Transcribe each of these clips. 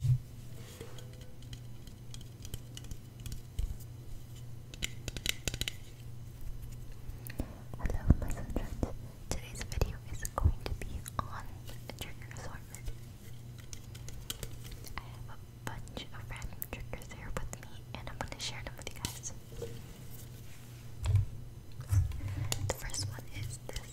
Hello my sunshine. Today's video is going to be on trigger assortment. I have a bunch of random triggers here with me and I'm gonna share them with you guys. The first one is this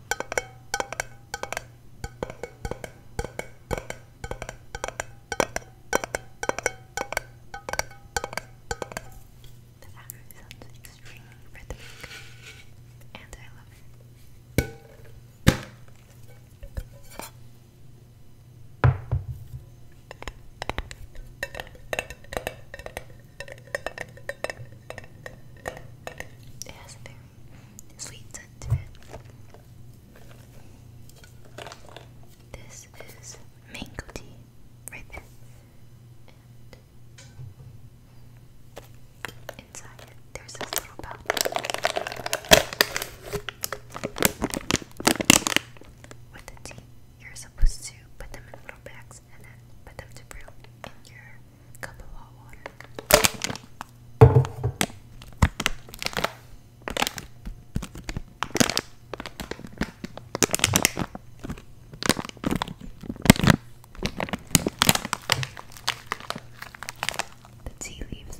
The background sounds extremely rhythmic, and I love it. It has a sweet scent This is mango tea, right there. inside there's this little bag. With the tea, you're supposed to put them in little bags and then put them to brew in your cup of hot water. The tea leaves.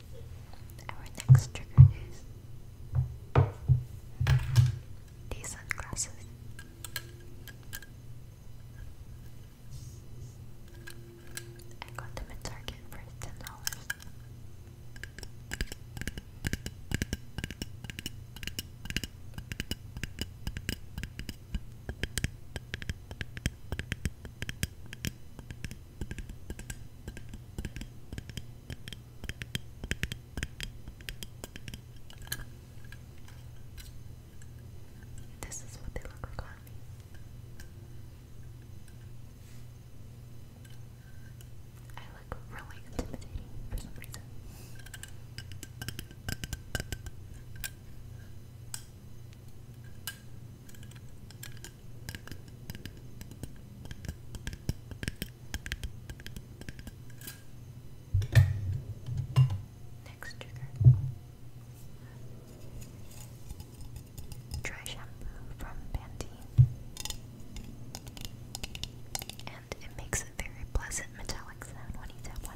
Our next trigger is these sunglasses. I got them at Target for ten dollars. This is what they look like I look really intimidating for some reason. Next trigger. Dry shampoo from Pantene. And it makes a very pleasant metallic sound when you tap on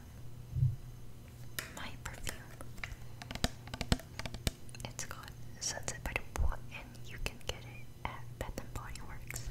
um, my perfume. It's called Sunset by the Pool, and you can get it at Bath Body Works.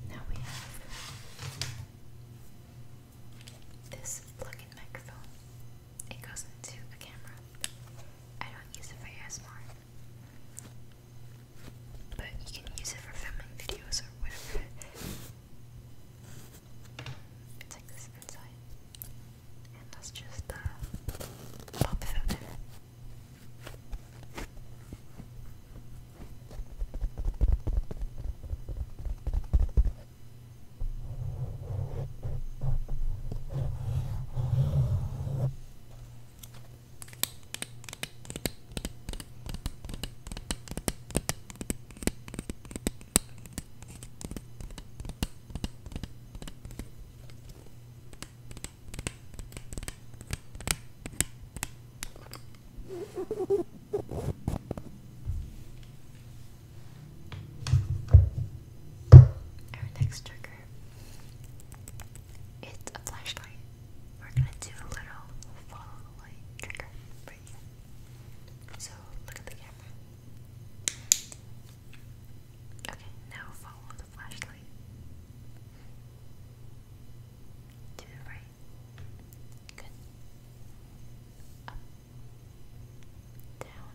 Now we have this plug-in microphone. It goes into a camera. I don't use it for ASMR. But you can use it for filming videos or whatever. It's this inside. And that's just the pop filter. Our next trigger it's a flashlight. We're gonna do a little follow the light trigger So look at the camera. Okay, now follow the flashlight. To the right. Good. Up. Down.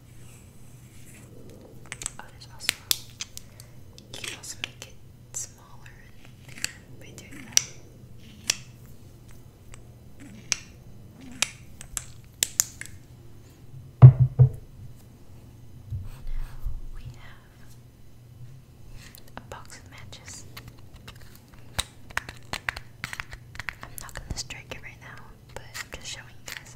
you oh, can also make it smaller by doing that. Now we have a box of matches. I'm not gonna strike it right now, but I'm just showing you guys.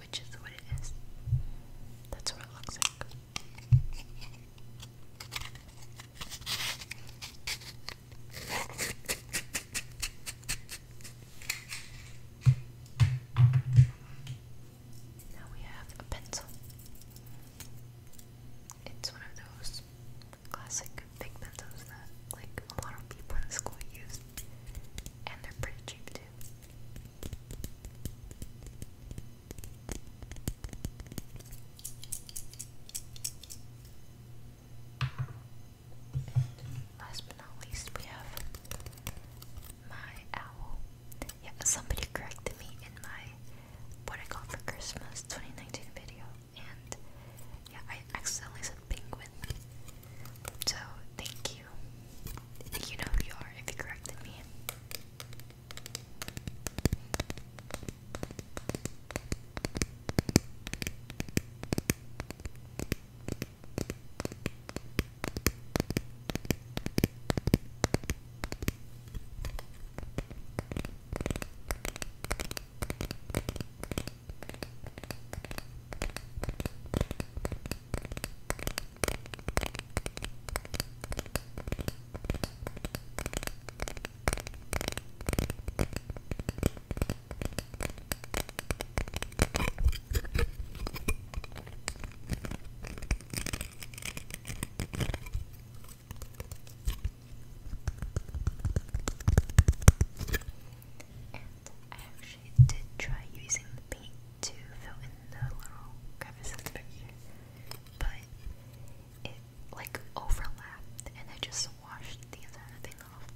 which is what it is. That's what it looks like. Now we have a pencil. It's one of those classic big pencils that like a lot of people in school use. And they're pretty cheap too. Last but not least, we have my owl. Yeah, somebody corrected me in my what I got for Christmas 2019 video, and yeah, I accidentally said penguin. So thank you you. you know who you are if you corrected me. And I actually did try using the paint to fill in the little crevice but it like overlapped and I just washed the entire thing off.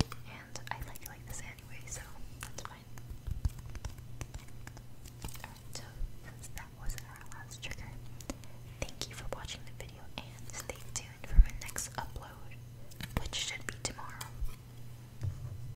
And I like it like this anyway, so that's fine. so that was our last trigger, thank you for watching the video and stay tuned for my next upload, which should be tomorrow.